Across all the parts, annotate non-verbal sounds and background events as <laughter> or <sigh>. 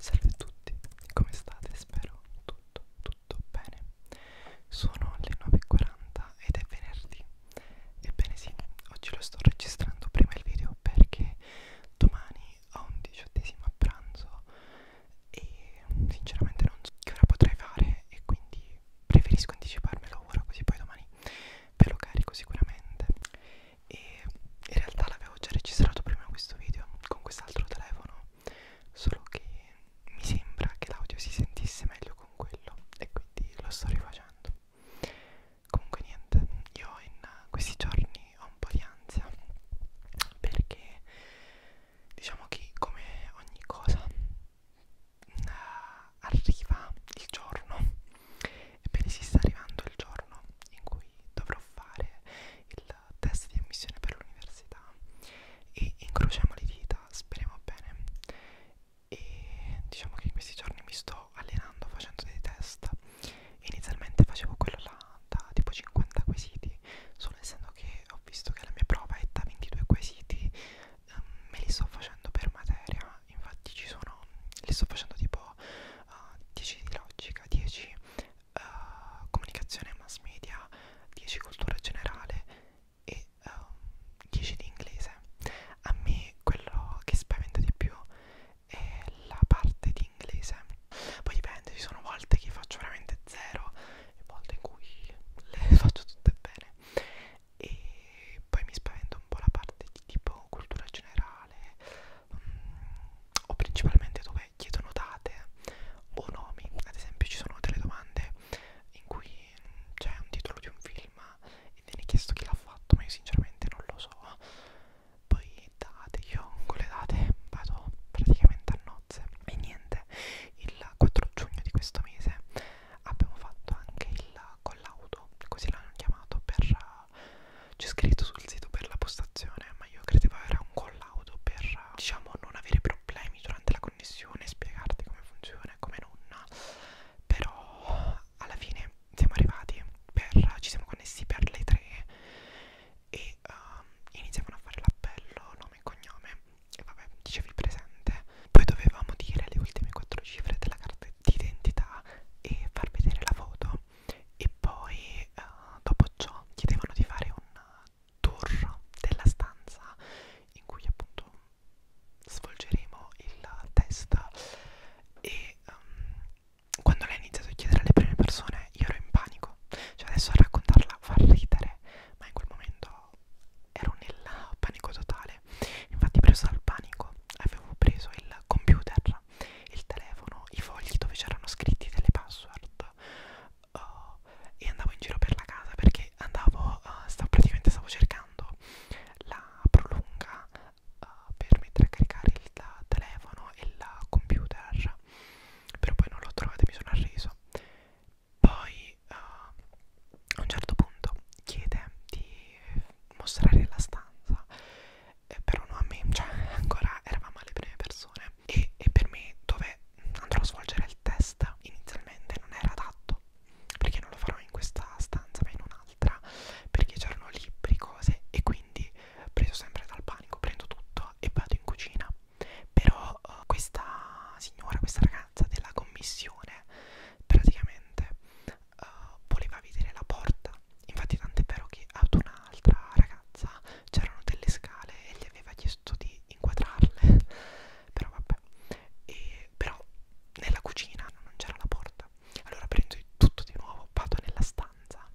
Salve a tutti, come state? Spero tutto, tutto bene Sono le 9.40 ed è venerdì Ebbene sì, oggi lo sto registrando prima il video perché domani ho un diciottesimo a pranzo E sinceramente non so che ora potrei fare e quindi preferisco anticiparmelo ora così poi domani ve lo carico sicuramente e in realtà l'avevo già registrato prima questo video con quest'altro telefono solo che mi sembra che l'audio si sentisse meglio con quello e quindi lo sto rifacendo comunque niente io in questi giorni ho un po' di ansia perché diciamo che come ogni cosa eh, arriva il giorno ebbene si sta arrivando il giorno in cui dovrò fare il test di ammissione per l'università e incrociamo le dita, speriamo bene e diciamo che in questi giorni mi sto allenando facendo dei test inizialmente facevo quello là da tipo 50 quesiti solo essendo che ho visto che la mia prova è da 22 quesiti um, me li sto facendo per materia infatti ci sono li sto facendo tipo uh, ah, 10 di logica 10 uh, comunicazione mass media, 10 cultura generale e uh, ehm, 10 di inglese. A me quello che spaventa di più è la parte di inglese. Poi dipende, ci sono volte che faccio veramente zero e volte in cui le <laughs> faccio tutte bene. E poi mi spaventa un po' la parte di tipo cultura generale o principalmente dove chiedono date o nomi, ad esempio ci sono delle domande in cui c'è un titolo di un film e viene chiesto chi l'ha fatto, ma io sinceramente non lo so. Poi date, io con le date vado praticamente a nozze e niente, il 4 giugno di questo mese abbiamo fatto anche il collaudo, così l'hanno chiamato per c'è scritto sul sito per la postazione, ma io credevo era un collaudo per diciamo non avere problemi durante la connessione, spiegarti come funziona e come non. Però alla fine siamo arrivati, per, ci siamo connessi per le tre e uh, iniziavano a fare l'appello, nome e cognome e vabbè dicevi presente. Poi dovevamo dire le ultime quattro cifre della carta d'identità e far vedere la foto video e poi eh, dopo ciò chiedevano di fare un tour della stanza in cui appunto svolgeremo il test e um, quando lei ha iniziato a chiedere alle prime persone io ero in panico cioè adesso a raccontarla fa ridere ma in quel momento ero nel panico totale infatti preso dal panico avevo preso il computer il telefono, i fogli dove c'erano scritti delle password uh, e andavo in giro per la casa perché andavo, uh, eh, stavo, praticamente stavo cercando la prolunga uh, per mettere a caricare il telefono e il computer però poi non l'ho trovata e mi sono arreso poi uh, a un certo punto chiede di mostrare la stanza eh, però no a me, cioè ancora eravamo alle prime persone e, e per me dove andrò a svolgere il test inizialmente non era adatto perché non lo farò in questa stanza ma in un'altra perché c'erano libri, cose e quindi preso sempre dal panico prendo tutto e vado in cucina però eh, questa signora, questa ragazza della commissione praticamente uh, voleva vedere la porta infatti tant'è vero che ad un'altra ragazza c'erano delle scale e gli aveva chiesto di inquadrarle <laughs> però vabbè e, però nella cucina non c'era la porta allora prendo tutto di nuovo vado nella stanza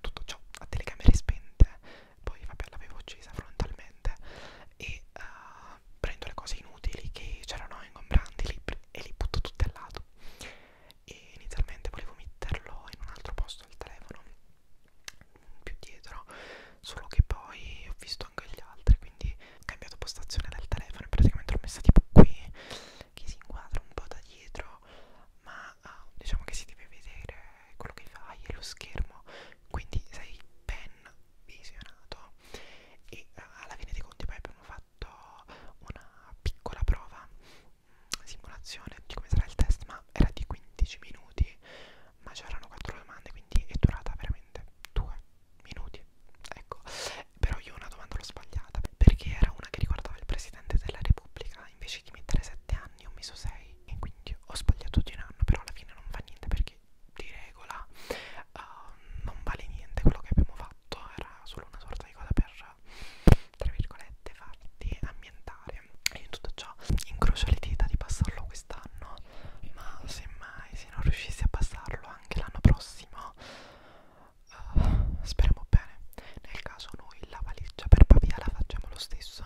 tutto ciò a telecamere spente poi vabbè l'avevo uccisa frontalmente e uh, prendo le cose inutili che c'erano ingombranti e li butto tutte al lato e inizialmente volevo metterlo in un altro posto al telefono più dietro solo che poi ho visto anche gli altri quindi ho cambiato postazione del telefono e praticamente l'ho messa tipo qui che si inquadra un po' da dietro ma uh, diciamo che si deve vedere quello che fai e lo schermo quindi sei ben visionato e uh, alla fine dei conti poi abbiamo fatto fatto una piccola prova, mm, simulazione di come sarà il test, ma era di 15 minuti, ma c'erano 4 domande, quindi è durata veramente 2 minuti. Ecco, però io una domanda l'ho sbagliata, perché era una che riguardava il Presidente della Repubblica, invece di mettere 7 anni ho messo 6 e quindi ho sbagliato di un anno, però alla fine non fa niente perché di regola uh, non vale niente quello che abbiamo fatto fatto, era solo una sorta di cosa per, tra virgolette, farti ambientare. E in tutto ciò incrocio le dita di passarlo quest'anno, ma semmai se non riuscissi a passarlo anche l'anno prossimo, uh, speriamo bene. Nel caso noi la valigia per Pavia la facciamo lo stesso,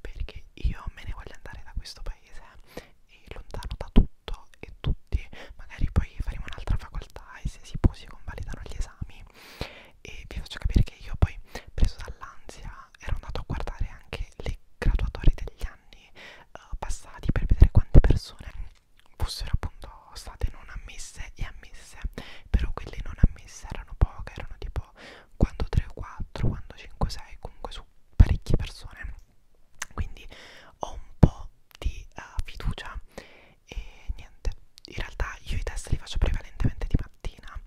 perché io me ne voglio andare da questo paese eh, e lontano da tutto tutto e tutti magari poi faremo un'altra facoltà e se si può si convalidano gli esami e vi faccio capire che io poi preso dall'ansia ero andato a guardare anche le graduatorie degli anni uh, passati per vedere quante persone fossero appunto state non ammesse e ammesse però quelle non ammesse erano poche erano tipo quando 3 o 4 quando 5 o 6 comunque su parecchie persone quindi ho un po' di uh, fiducia e niente in realtà io i test li faccio prevalentemente di mattina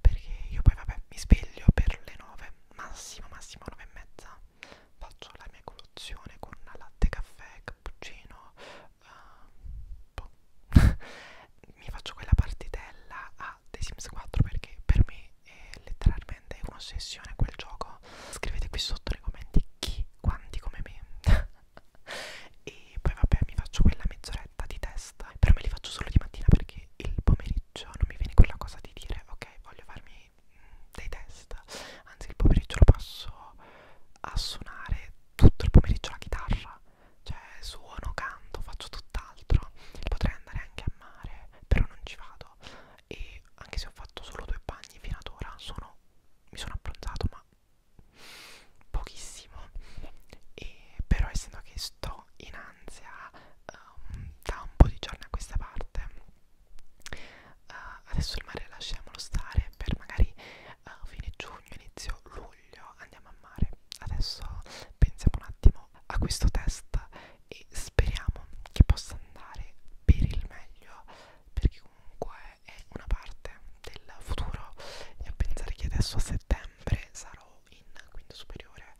perché io poi vabbè mi sveglio per le 9 massimo massimo 9 e mezza faccio la mia colazione con latte caffè cappuccino uh, <laughs> mi faccio quella partitella a The Sims 4 perché per me è letteralmente un'ossessione quel gioco scrivete qui sotto nei commenti chi, quanti come me <laughs> e poi vabbè mi faccio quella mezz'oretta di testa però me li faccio solo di mattina perché il pomeriggio non mi viene quella cosa di dire ok voglio farmi mm, dei test anzi il pomeriggio lo passo a suonare tutto il pomeriggio la chitarra cioè suono, canto, faccio tutt'altro potrei andare anche a mare però non ci vado e anche se ho fatto solo due bagni fino ad ora sono, mi sono abbronzato ma pochissimo e però essendo che sto in ansia um, da un po' di giorni a questa parte uh, adesso il mare lasciamolo stare per magari uh, fine giugno inizio luglio andiamo a mare adesso pensiamo un attimo a questo test e speriamo che possa andare per il meglio perché comunque è una parte del futuro e a pensare che adesso a settembre sarò in quinto superiore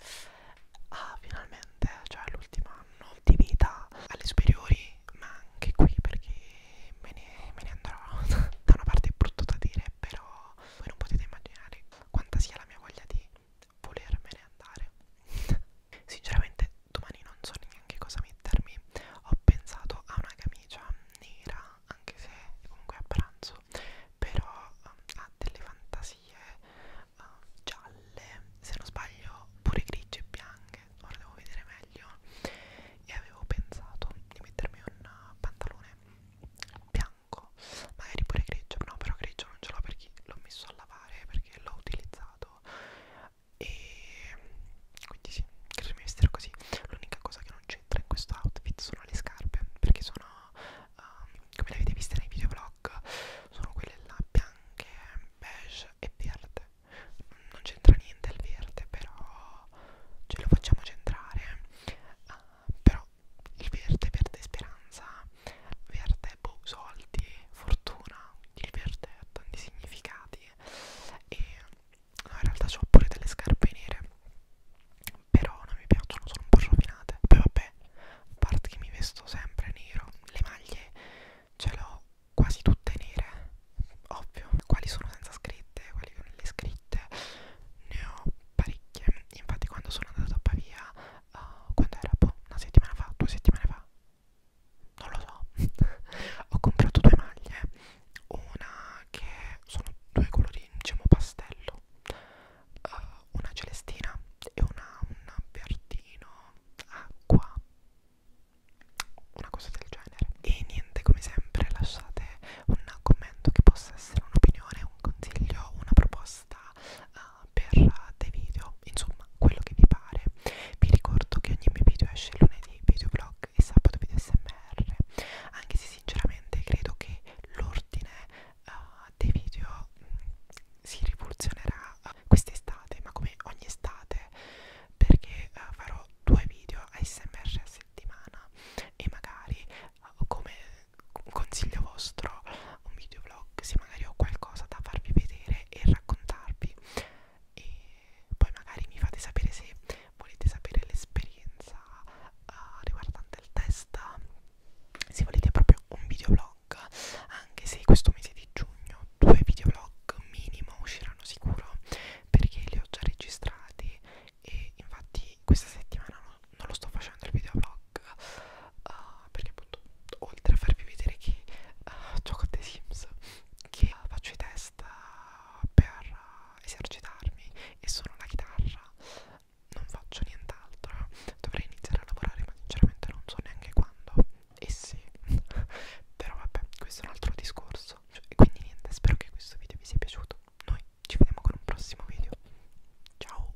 ah finalmente cioè l'ultimo anno di vita alle superiori ma anche qui perché me ne, me ne andrò <laughs> da una parte è brutto da dire però voi non potete immaginare quanta sia la mia voglia di volermene andare Sinceramente domani non so neanche cosa mettermi Ho pensato a una camicia nera Anche se comunque a pranzo Però um, ha delle fantasie uh, gialle Se non sbaglio pure grigie e bianche Ora devo vedere meglio E avevo pensato di mettermi un uh, pantalone bianco Magari pure grigio No però grigio non ce l'ho perché l'ho messo a lavare Perché l'ho utilizzato e quindi sì, credo mi vestirò così. L'unica cosa che non c'entra in questo outfit sono le scarpe, perché sono, um, come le avete viste nei videoblog, sono quelle là bianche, beige e verde. Non c'entra niente il verde, però ce lo facciamo centrare. Uh, però il verde, verde speranza, verde te, boh, soldi, fortuna, diverte ha tanti significati e no, in realtà ho pure delle scarpe nere però non mi piacciono, sono un po' rovinate poi vabbè, a parte che mi vesto sempre nero le maglie ce l'ho quasi tutte nere ovvio, quali sono senza scritte, quali con le scritte ne ho parecchie infatti quando sono andato a Pavia uh, quando era boh, una settimana fa, due settimane fa non lo so <laughs> ho comprato due maglie una che sono due colori diciamo pastello uh, una celestina e una un verdino acqua una cosa del genere e niente come sempre lasciate un commento che possa essere un'opinione un consiglio una proposta pasta uh, eh, per dei video, insomma quello che vi pare. Vi ricordo che ogni mio video esce lunedì, videoblog e sabato video smr, anche se sinceramente credo che l'ordine uh, dei video mh, mm, si rivoluzionerà uh, quest'estate, ma come ogni estate, perché uh, farò due video ASMR a settimana e magari uh, come consiglio vostro un video vlog se magari ho qualcosa da farvi vedere e raccontarvi e poi magari mi fate sapere se volete sapere l'esperienza uh, riguardante il test se volete proprio un videoblog anche se questo mese di giugno due videoblog minimo usciranno sicuro perché li ho già registrati e infatti questa settimana non, non lo sto facendo il videoblog TikTok uh, eh, perché appunto oltre a farvi vedere che uh, gioco a The Sims che uh, faccio i test uh, per uh, esercitarmi e suono la chitarra non faccio nient'altro dovrei iniziare a lavorare ma sinceramente non so neanche quando e sì <laughs> però vabbè questo è un altro discorso cioè, e quindi niente spero che questo video vi sia piaciuto noi ci vediamo con un prossimo video ciao